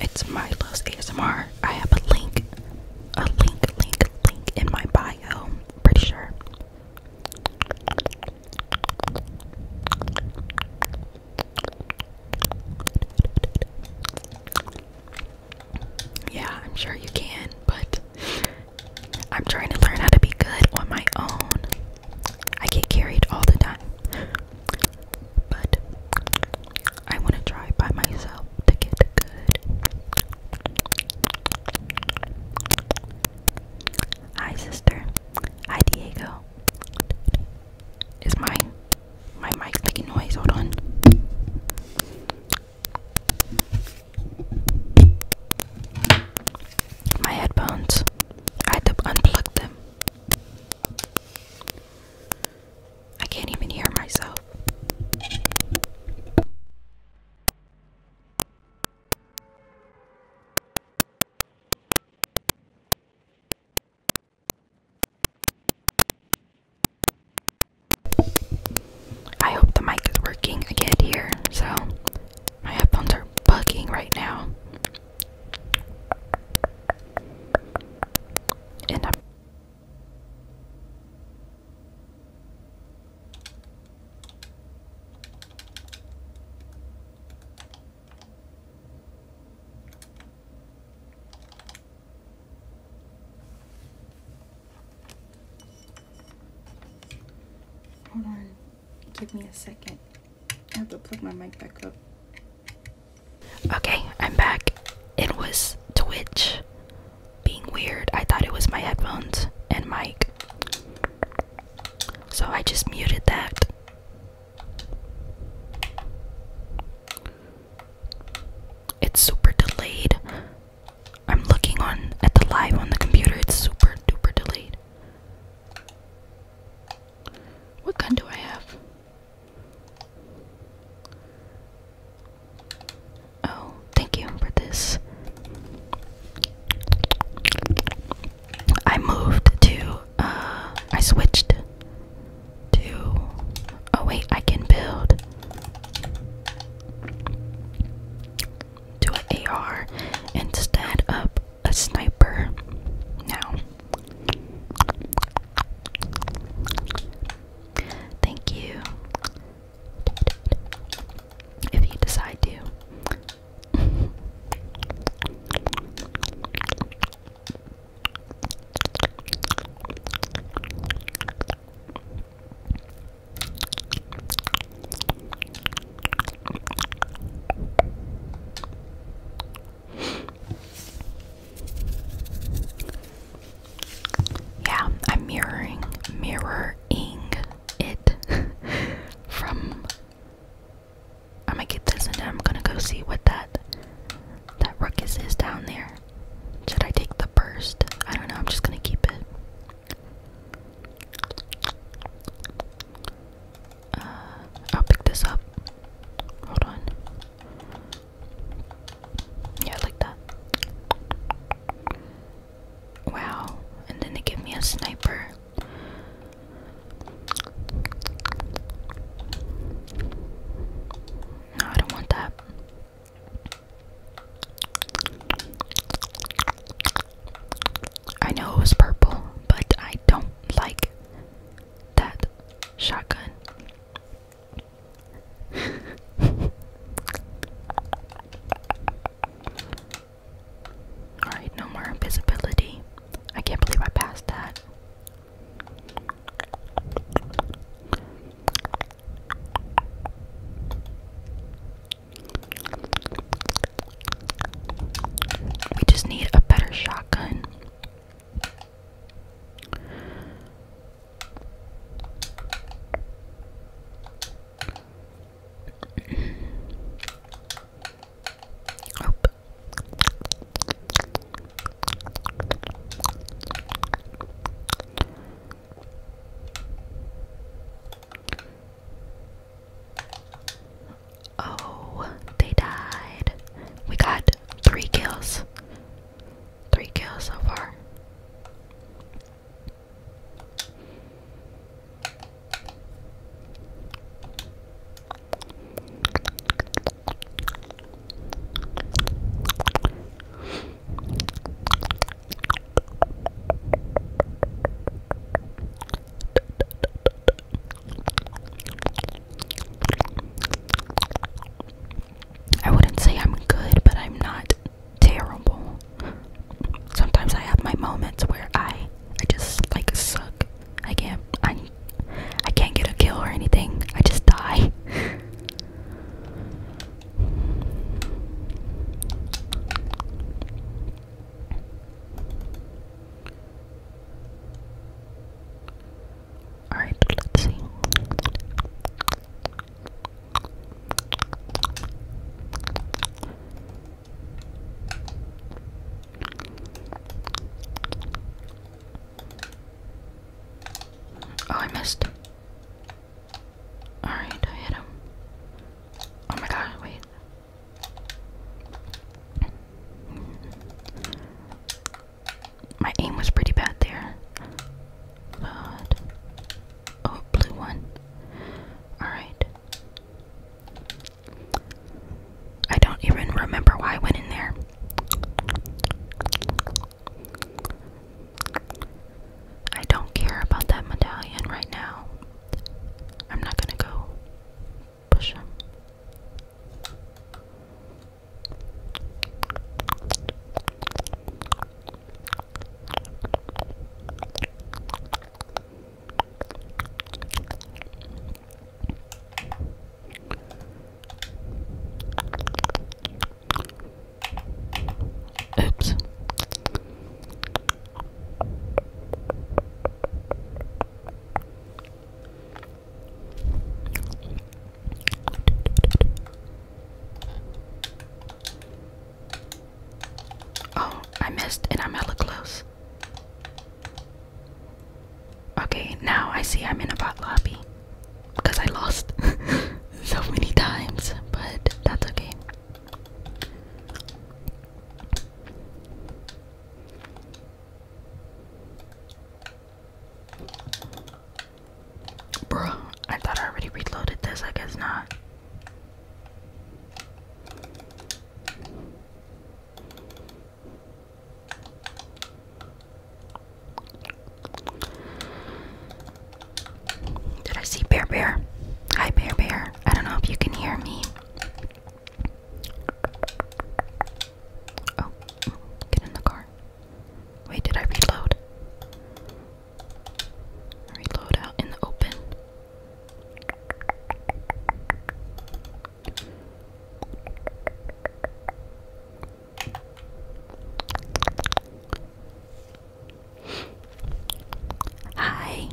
It's my Milo's ASMR. I have a link, a link, link, link in my bio. Pretty sure. Yeah, I'm sure you can, but I'm trying to learn how to be good on my own. I get carried all the time, but I want to try by myself to get good. Hi, sister. Hi, Diego. Is my my mic making noise? Hold on. My headphones. I had to unplug them. I can't even hear myself. I hope the mic is working. I can't hear, so my headphones are bugging right now. And I'm Hold on. Give me a second. I have to plug my mic back up. Okay, I'm back. It was Twitch being weird. I thought it was my headphones and mic. So I just muted that. It's super delayed. I'm looking on at the live on the computer. It's super duper delayed. What gun do I have? Oh, thank you for this. I moved to, uh, I switched to, oh wait, I can build to an AR instead of a sniper now. Thank you. If you decide to. Yeah, I'm mirroring, mirroring it from I'm gonna get this and then I'm gonna go see what that that ruckus is down there. Should I take the burst? I don't know, I'm just gonna keep it. Uh, I'll pick this up. Hold on. Yeah, I like that. Wow. And then they give me a sniper. No, I don't want that. I know it was purple, but I don't like that shotgun. Alright, no more invisibility. I can't believe I passed that. We just need a better shotgun. Oh. they died. We got three kills. Three kills so far. I wouldn't say I'm good, but I'm not terrible. Sometimes I have my moments where I I just like suck I can't I I can't get a kill or anything. I just die. Alright, let's see. Oh, I missed. Alright, I hit him. Oh my god, wait. My aim was pretty bad there. But. Oh, blue one. Alright. I don't even remember why I went in there. I don't care about that medallion right now. I'm not gonna go push him. Oops. Oh, I missed and I'm hella close. Okay, now I see I'm in a bot lobby because I lost so many times, but that's okay. Bro, I thought I already reloaded this, I guess not. Did I see Bear Bear? Hi, Bear Bear. I don't know if you can hear me. Oh, get in the car. Wait, did I reload? Reload out in the open. Hi,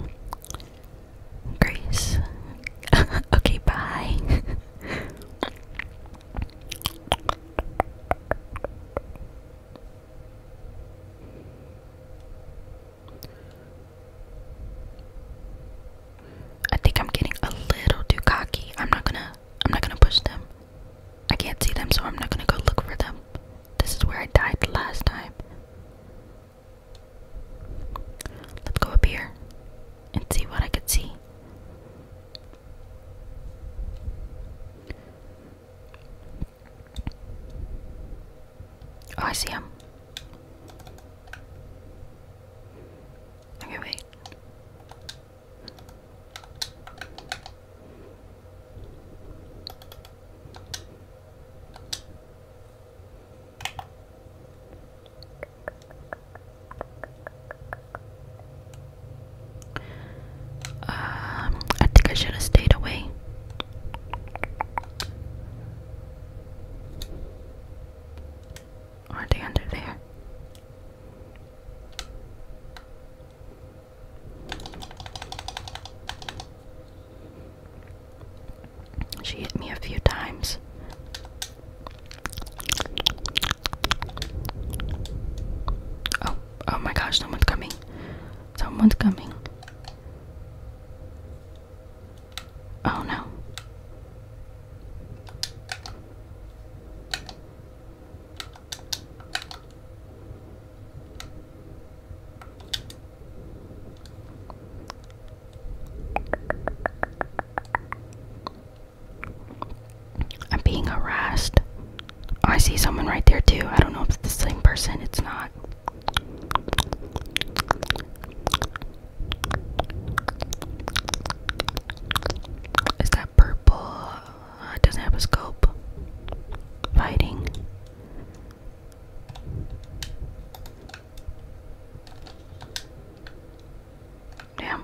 Grace. okay, bye. I think I'm getting a little too cocky. I'm not gonna I'm not gonna push them. I can't see them, so I'm not gonna go look for them. This is where I died last time. Let's go up here and see what I could see. Oh, I see him. Okay, wait. Um, I think I should have stayed away. Aren't they under there? She hit me a few times. Oh, oh my gosh, someone's coming. Someone's coming. Oh no. I'm being harassed. Oh, I see someone right there too. I don't know if it's the same person. It's not. Is that purple? Uh, it doesn't have a scope. Fighting. Damn.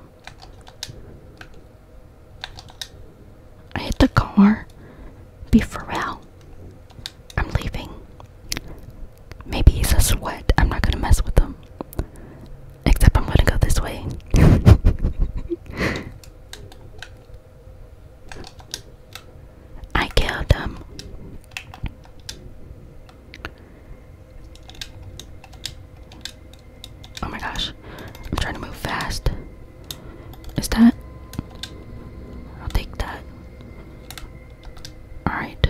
I hit the car. Be for real. I'm leaving. Maybe he's a sweat. I'm not gonna mess with them. Except I'm gonna go this way. I killed them. Oh my gosh. I'm trying to move fast. Is that? I'll take that. Alright.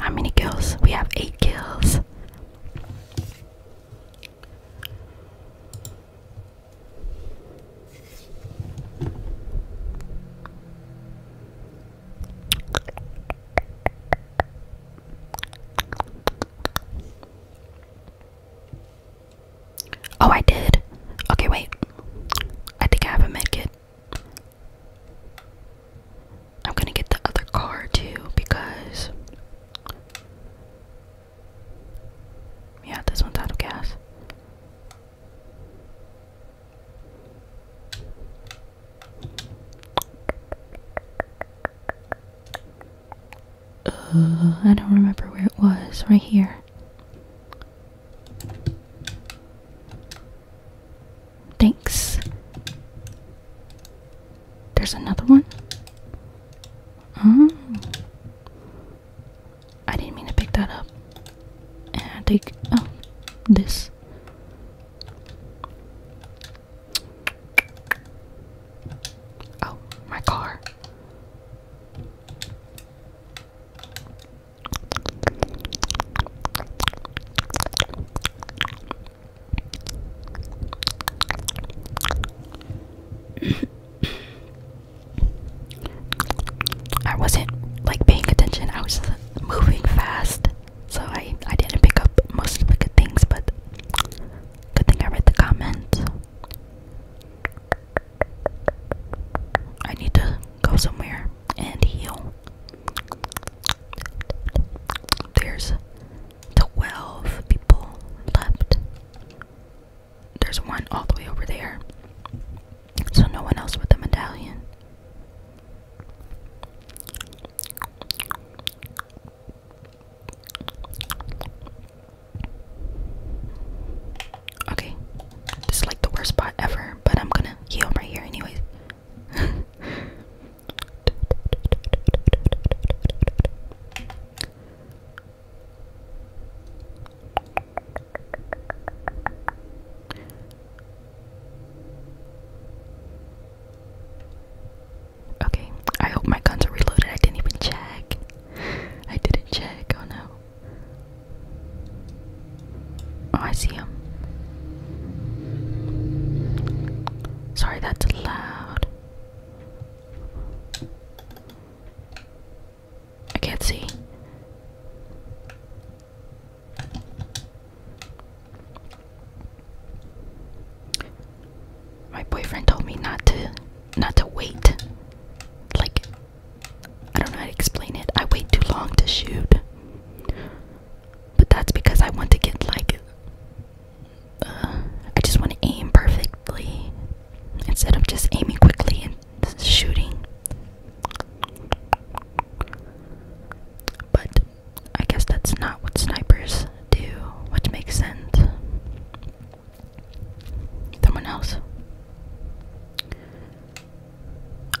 How many kills? We have eight kills. Oh, I did. Okay, wait. I think I have a medkit. I'm gonna get the other car too because. Yeah, this one's out of gas. Uh, I don't remember where it was. Right here. Thanks. There's another one. Oh. I didn't mean to pick that up. And take oh this. Oh, my car. I wasn't like paying attention. I was moving fast, so I I didn't pick up most of the good things, but Good thing I read the comments. I need to go somewhere and heal. There's 12 people left. There's one all the way over there. So no one else with a medallion. Okay, this is like the worst spot ever, but I'm gonna heal right here, anyways. Okay, I hope my guns are reloaded. I didn't even check. I didn't check. Oh no. Oh, I see him. Sorry, that's loud. I can't see. My boyfriend told me not to not to wait. Like I don't know how to explain it. I wait too long to shoot. But that's because I want to get like uh, I just want to aim perfectly instead of just aiming quickly and shooting. But I guess that's not what snipers do, which makes sense. Someone else.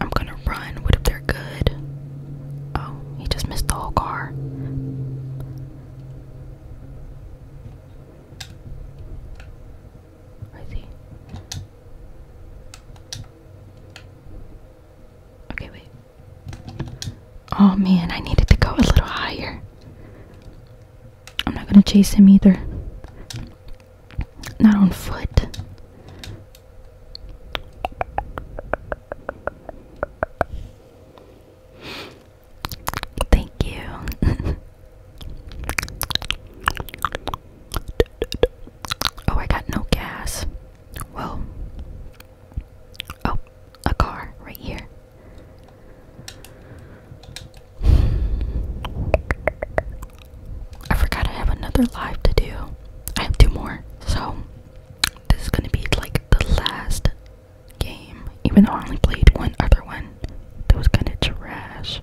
I'm gonna run. What if they're good? Oh, he just missed the whole car. Where is he? Okay, wait. Oh man, I needed to go a little higher. I'm not gonna chase him either. Not on foot. Thank you. oh, I got no gas. Well, oh, a car right here. I forgot I have another live to do. I have two more. So, this is gonna be like the last game, even though I only played one other one that was kinda trash.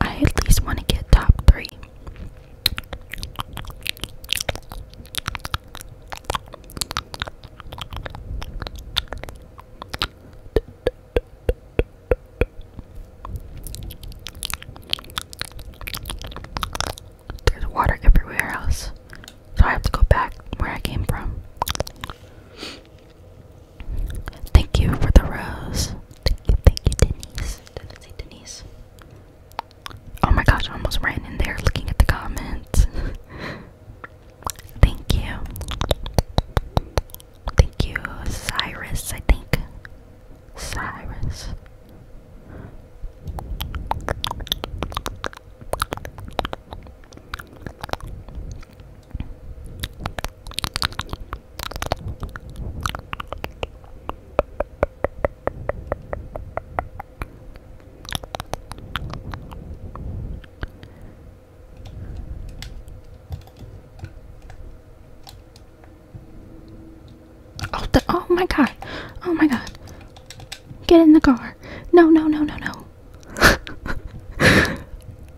I at least wanna get top three. There's water everywhere else, so I have to go back where I came from. Thank you for the rose. Thank you, Denise. Did it say Denise? Oh my gosh, I almost ran in there looking at the comments. Thank you. Thank you, Cyrus, I think. Cyrus. Oh, the, oh my god. Oh my god. Get in the car. No, no, no, no, no.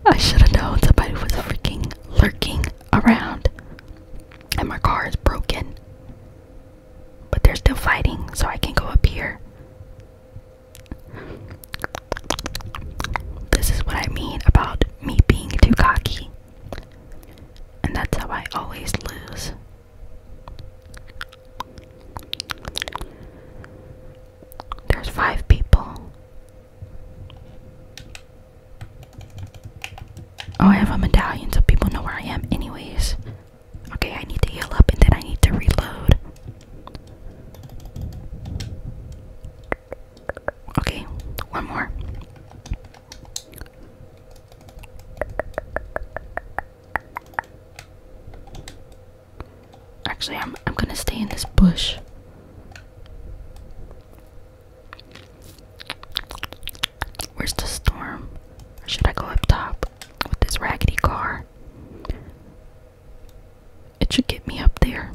I should have known somebody was freaking lurking around. And my car is broken. But they're still fighting, so I can go up here. This is what I mean about me being too cocky. And that's how I always lose. There's five people. Oh, I have a medallion so people know where I am, anyways. Okay, I need to heal up and then I need to reload. Okay, one more. Actually, I'm I'm going to stay in this bush. Where's the storm? Or should I go up top with this raggedy car? It should get me up there.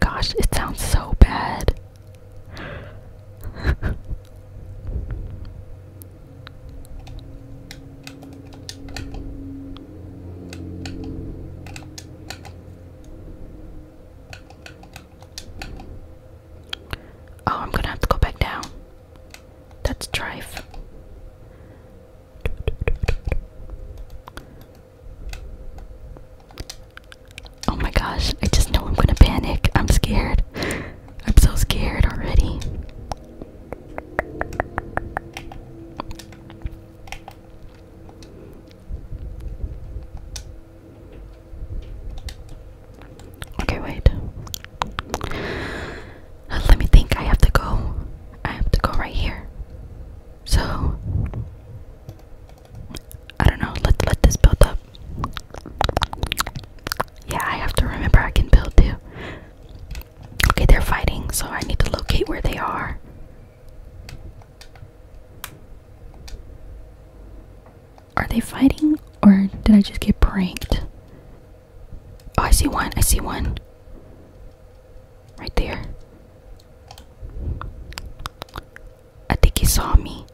Gosh, it sounds so bad. Oh, I'm gonna have to go back down. That's drive. Oh my gosh, I just know I'm gonna panic. I'm scared. I'm so scared already. Okay, wait. Uh, let me think. I have to go. I have to go right here. So I don't know. Let let this build up. Yeah, I have to remember I can build too. Okay, they're fighting, so I need to locate where they are. Are they fighting or did I just get pranked? Oh, I see one. I see one. Right there. I think he saw me.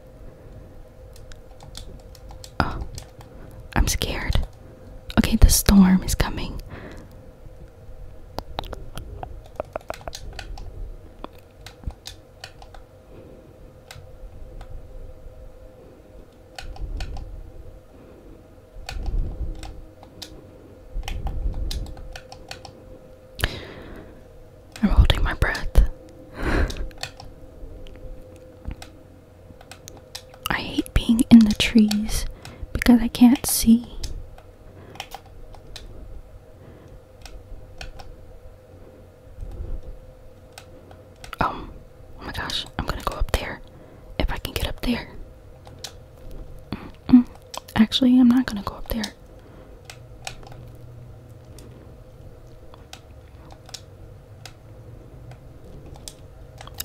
Oh, I'm scared. Okay, the storm is coming. I'm holding my breath. I hate being in the trees because I can't see. Um, oh my gosh, I'm gonna go up there. If I can get up there. Actually, I'm not gonna go up there.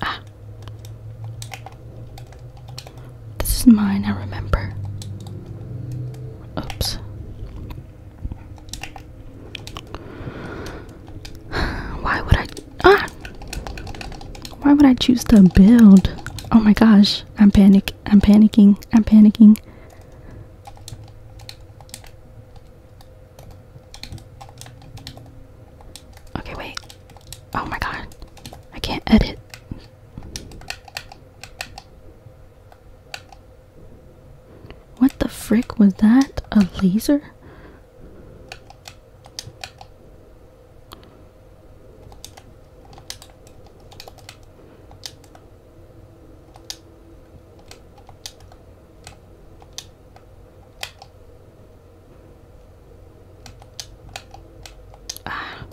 Ah. This is mine, I remember. Oops. Why would I ah? Why would I choose to build? Oh my gosh, I'm panicking. I'm panicking. I'm panicking. Okay, wait. Oh my god. I can't edit. What the frick was that? A laser? Ah.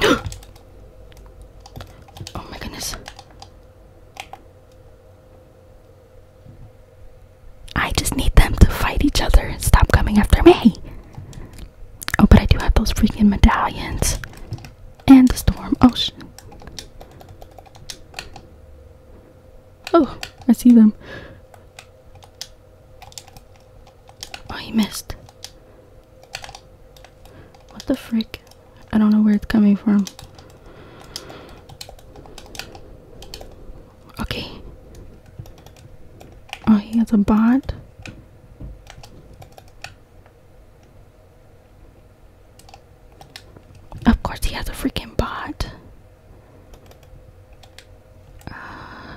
oh my goodness. I just need them to fight each other and stop coming after me. Oh, but I do have those freaking medallions. And the storm ocean. Oh, I see them. Oh, he missed. What the frick? I don't know where it's coming from. Okay. Oh, he has a bot. Of course, he has a freaking bot. Uh,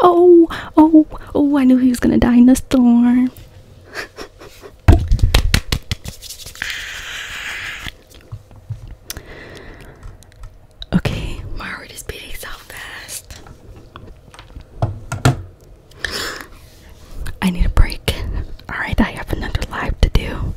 Oh, oh, oh, I knew he was gonna die in the storm. okay, my heart is beating so fast. I need a break. Alright, I have another live to do.